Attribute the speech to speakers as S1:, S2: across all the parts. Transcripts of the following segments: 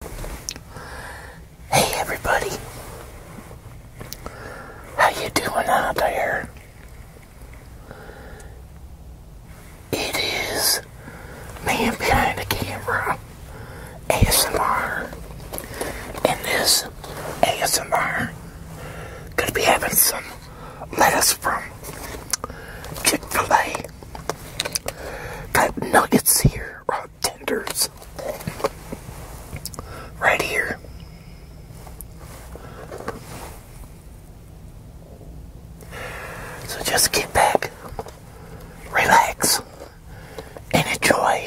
S1: Hey everybody, how you doing out there? It is man behind the camera, ASMR, and this ASMR gonna be having some lettuce from Chick-fil-A. Got nuggets here, tenders right here. So just get back, relax, and enjoy.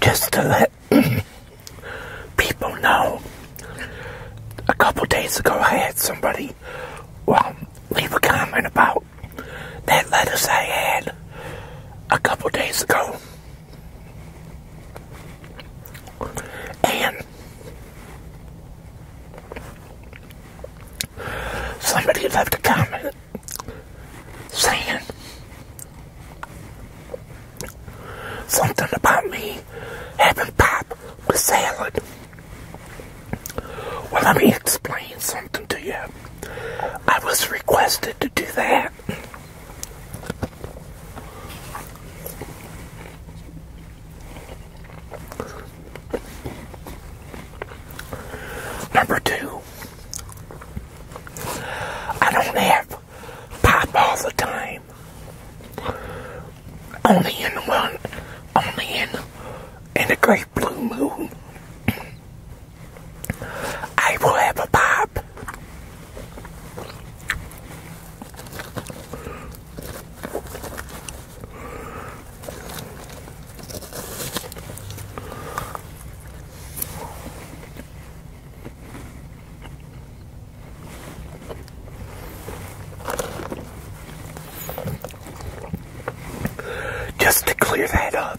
S1: Just to let people know, a couple days ago I had somebody, well, leave a comment about that lettuce I had a couple days ago. And somebody left a comment saying something about me having pop with salad. Well, let me explain something to you. I was requested to do that. Number two, I don't have pop all the time. Only in one, only in in a great blue moon, I will have a pop. Just to clear that up.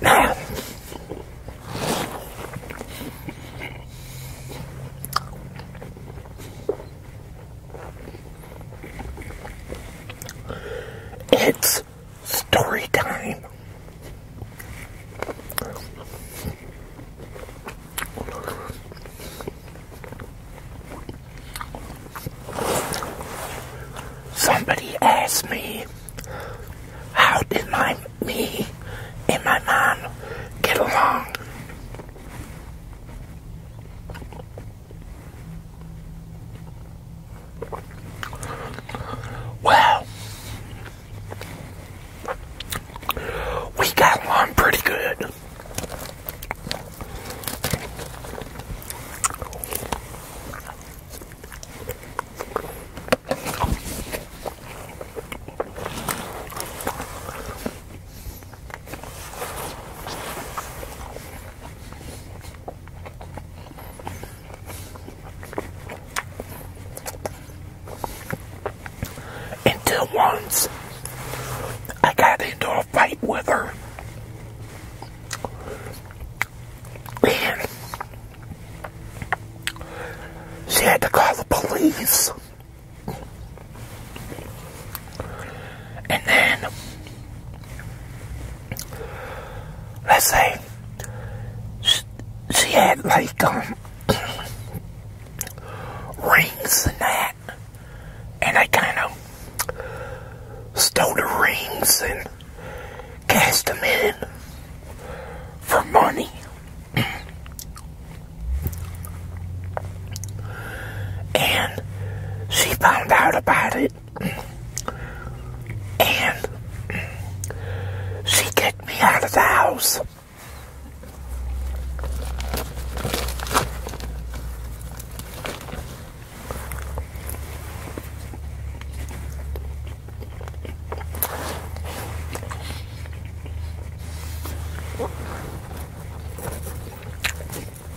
S1: Now, it's story time. Somebody asked me, how did my me and my mom get along? Well, we got along pretty good. Until once I got into a fight with her. And she had to call the police. And then, let's say she had like um, rings and that, and I kind of stole the rings and cast them in for money. and she found out about it and she kicked me out of the house.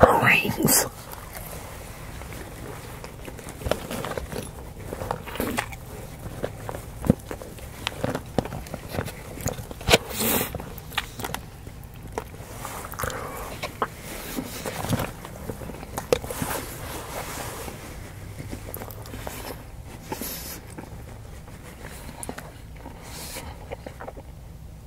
S1: her rings.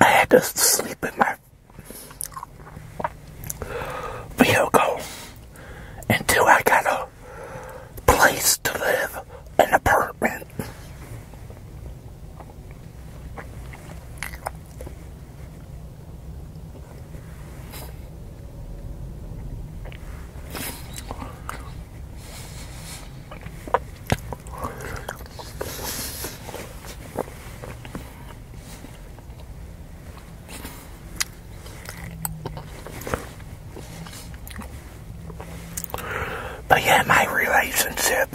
S1: I had to sleep in my vehicle until I got a place to live, an apartment. But yeah, my relationship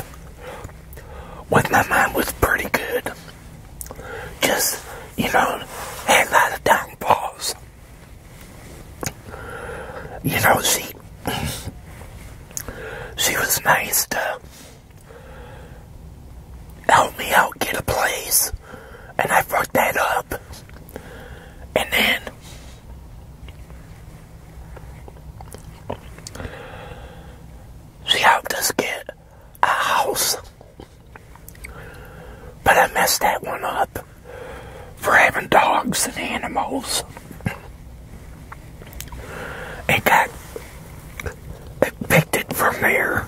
S1: with my mom was pretty good. Just, you know, had a lot of downfalls you know, she she was nice to help me out get a place, and I fucked that up. And then she helped us get a house, but I messed that one up for having dogs and animals and got it from there.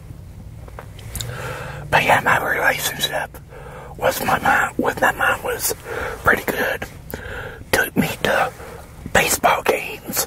S1: But yeah, my relationship with my mom with my mom was pretty good. Took me to baseball games.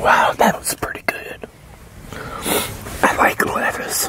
S1: Wow, that was pretty good. I like levers.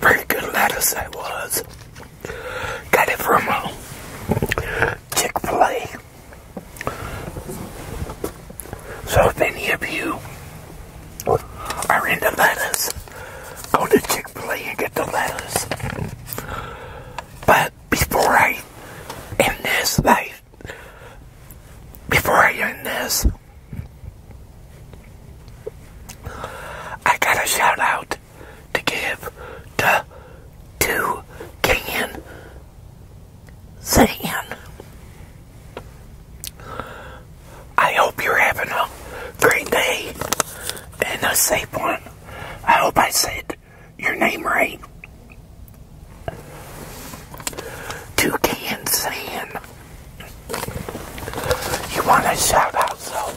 S1: Very good lettuce that was. Got it from uh, Chick-fil-A. So if any of you are into lettuce, go to Chick-fil-A and get the lettuce. But before I end this life, before I end this, I got a shout out to give to to Can Zan. I hope you're having a great day and a safe one. I hope I said your name right. Toucan San. You want a shout out, so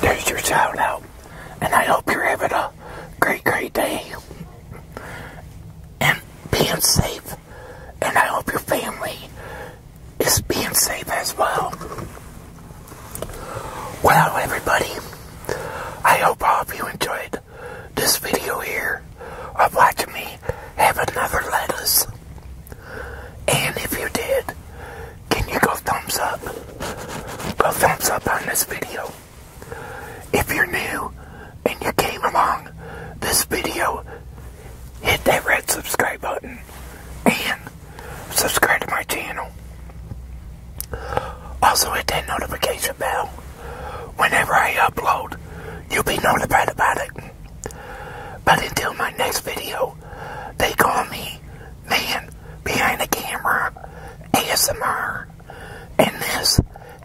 S1: there's your shout out. And I hope you're having a great, great day. And being safe. And I hope your family is being safe as well. Well, everybody, I hope all of you enjoyed this video here of watching me have another lettuce. And if you did, can you go thumbs up? Go thumbs up on this video. If you're new and you came along this video, hit that red subscribe button and subscribe to my channel. Also hit that notification bell whenever I upload, you'll be notified about it. But until my next video, they call me Man Behind the Camera ASMR. And this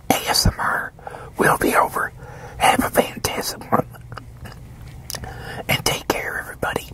S1: ASMR will be over. Have a fantastic one. And take care, everybody.